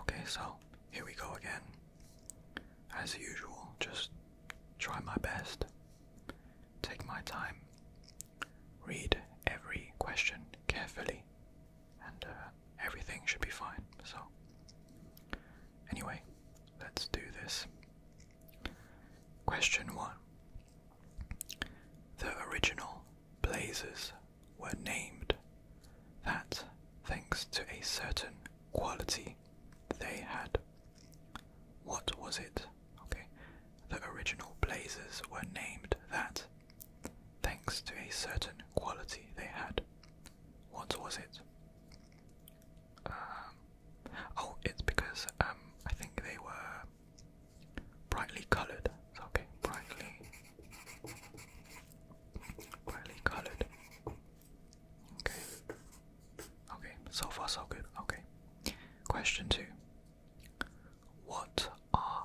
Okay, so here we go again. As usual, just try my best. Take my time. Read every question carefully, and uh, everything should be fine. So, anyway, let's do this. Question 1 The original Blazers were named, that thanks to a certain quality they had. What was it? Okay, the original blazers were named that thanks to a certain quality they had. What was it? Um, oh, it's because um, I think they were brightly colored. Okay, brightly, brightly colored. Okay. Okay, so far so good. Okay. Question two. What are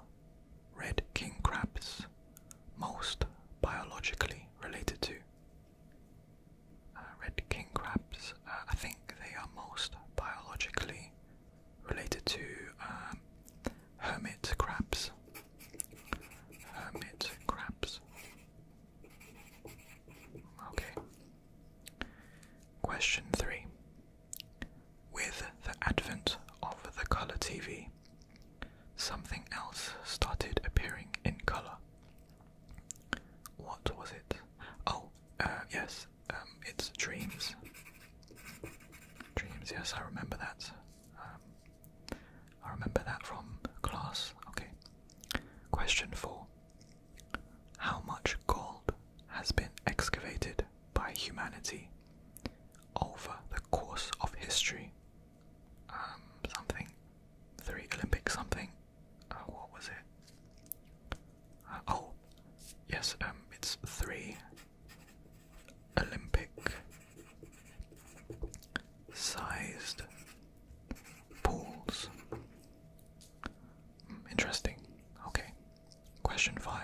red king crabs most biologically related to? Uh, red king crabs, uh, I think they are most biologically related to um, hermit crabs. Hermit crabs. Okay. Question 3. With the advent of the colour TV, something else started appearing in colour. What was it? Oh, uh, yes, um, it's Dreams. Dreams, yes, I remember that. Um, I remember that from class. Okay. Question 4 How much gold has been excavated by humanity over the course of history? Um, something. Three Olympic something. Uh, what was it? Uh, oh, yes, um, it's three Olympic sized pools. Hmm, interesting. Okay. Question 5.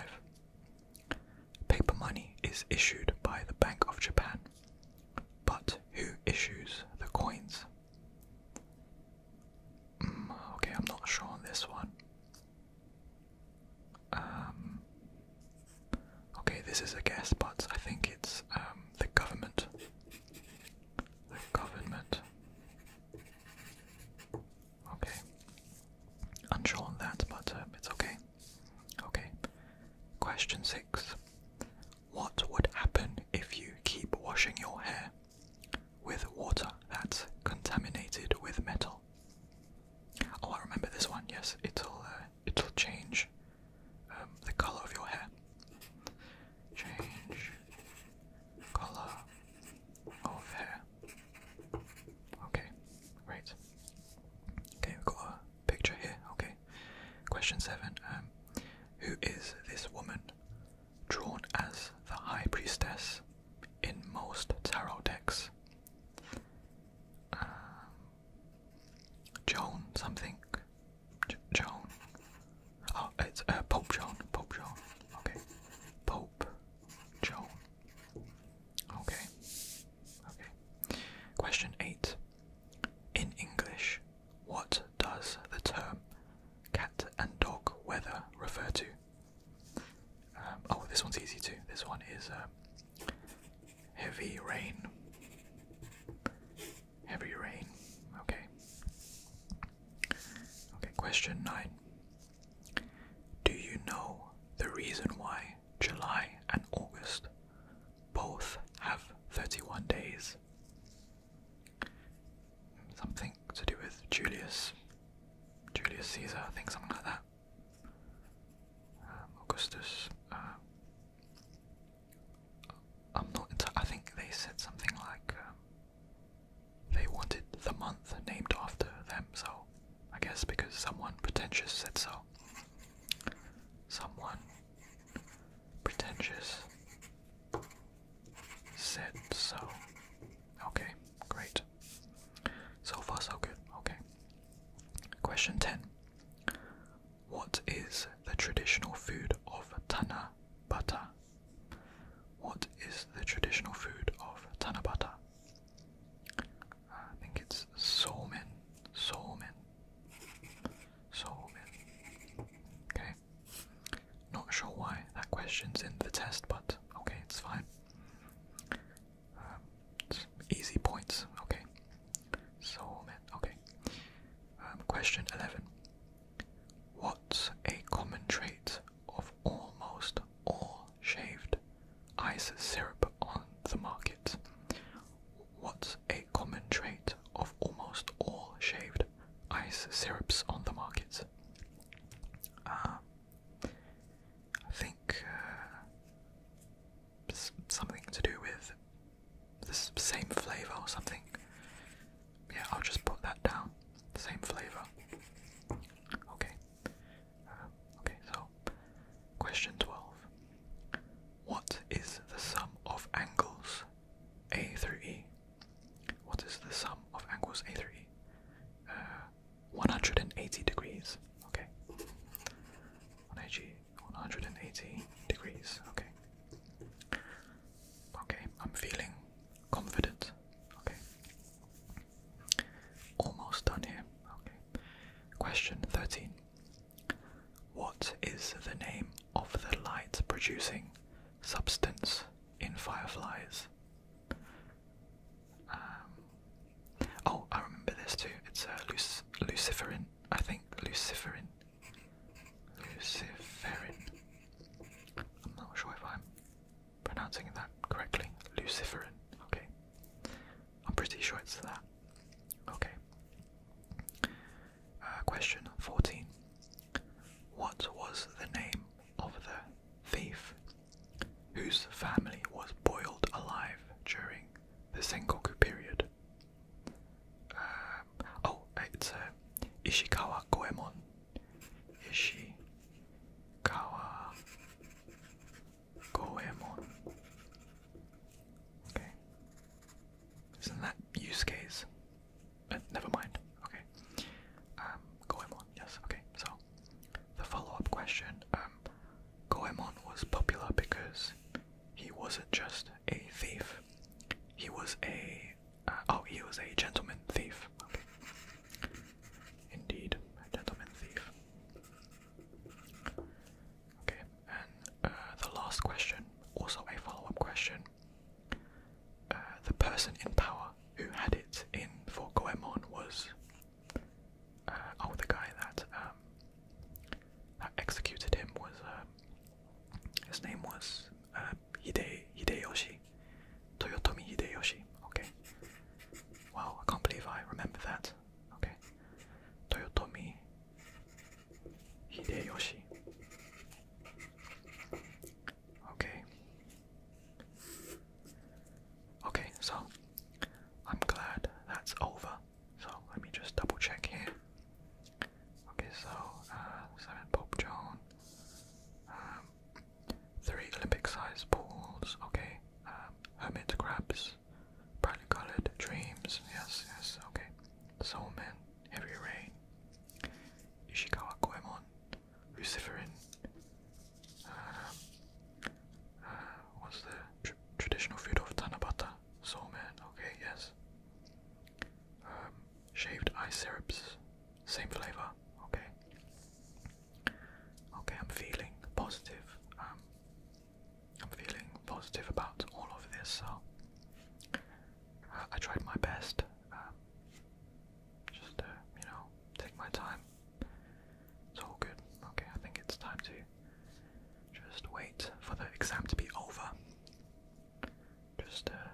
Paper money is issued by the Bank of Japan. But who issues the coins? Hmm, okay, I'm not sure on this one. Um, okay, this is a guess, but I think it's um, the government. The government. Okay. Unsure on that, but um, it's okay. Okay. Question six. What would happen if you keep washing your hair with water that's contaminated with metal? Oh, I remember this one. Yes, it'll uh, it'll change um, the color of your hair. Change color of hair. Okay, great. Okay, we've got a picture here. Okay, question seven. Um, who is this woman drawn as the high priestess in most tarot decks. Um, Joan something. J Joan. Oh, it's uh, Pope Joan. Pope Joan. Okay. Pope Joan. Okay. Okay. Question 8. In English, what does the term cat and dog weather refer to? Um, oh, this one's easy too. This one is um, heavy rain. Heavy rain. Okay. Okay, question 9. Do you know the reason why July and August both have 31 days? Something to do with Julius Julius Caesar, I think something like that. Um, Augustus. Uh, I'm not. I think they said something like um, they wanted the month named after them. So I guess because someone pretentious said so. Someone pretentious said so. Okay, great. So far, so good. Okay. Question 10 What is the traditional food of Tanabata? What is the traditional food of Tanabata? Uh, I think it's somen, somen, somen. Okay. Not sure why that question's in the test, but okay, it's fine. Um, easy points, okay. So, man, okay. Um, question 11. What's a common trait of almost all shaved ice syrup on the market? What's a common trait of almost all shaved ice syrups on the market? Um, I think uh, something to do with the same flavour or something. Yeah, I'll just put that down. Same flavour. Okay. Uh, okay, so question 12. What is the sum of angles A through E? What is the sum of angles A through E? Uh, 180 degrees. Okay. 180, 180 degrees. Okay. Okay, I'm feeling confident. Okay. Almost done here. Okay. Question 13. What is the name of the light producing substance in fireflies? Um, oh, I remember this too. It's uh, Luc Luciferin, I think. Luciferin. Luciferin. I'm not sure if I'm pronouncing that correctly. Luciferin. Okay. I'm pretty sure it's that. Okay. Uh, question 14. What was the name of the thief whose family was boiled alive during the Sengoku period. Um, oh, it's uh, Ishikawa Goemon. Ishikawa Goemon. Okay. Isn't that use case? Uh, never mind. Okay. Um, Goemon. Yes. Okay. So, the follow-up question. Um, Goemon was popular because he wasn't just a thief. He was a uh, oh, he was a gentleman thief. Okay. Indeed, a gentleman thief. Okay, and uh, the last question, also a follow-up question, uh, the person in power who had it in for Goemon was uh, oh the guy that um, executed him was um, his name was uh, Hide Hideyoshi Toyotomi Hideyoshi. Okay. Wow, I can't believe I remember that. Okay. Toyotomi Hideyoshi. Okay. Okay, so I'm glad that's over. So let me just double check here. Okay, so uh, seven Pope John, um, three Olympic-sized pools. Okay, um, hermit crabs, brightly coloured dreams. Yes, yes. Okay, man. heavy rain, Ishikawa Goemon, Luciferin. Um, uh, what's the traditional food of Tanabata? Soulman, okay, yes. Um, shaved ice syrups, same flavor, okay. Okay, I'm feeling positive. Um, I'm feeling positive about all of this, so uh, I tried my best um, just you know, take my time. It's all good. Okay, I think it's time to just wait for the exam to be over. Just uh,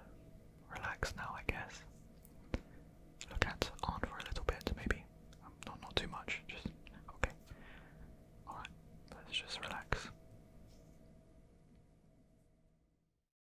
relax now, I guess. Look at on for a little bit, maybe. Um, not not too much. Just okay. All right. Let's just relax.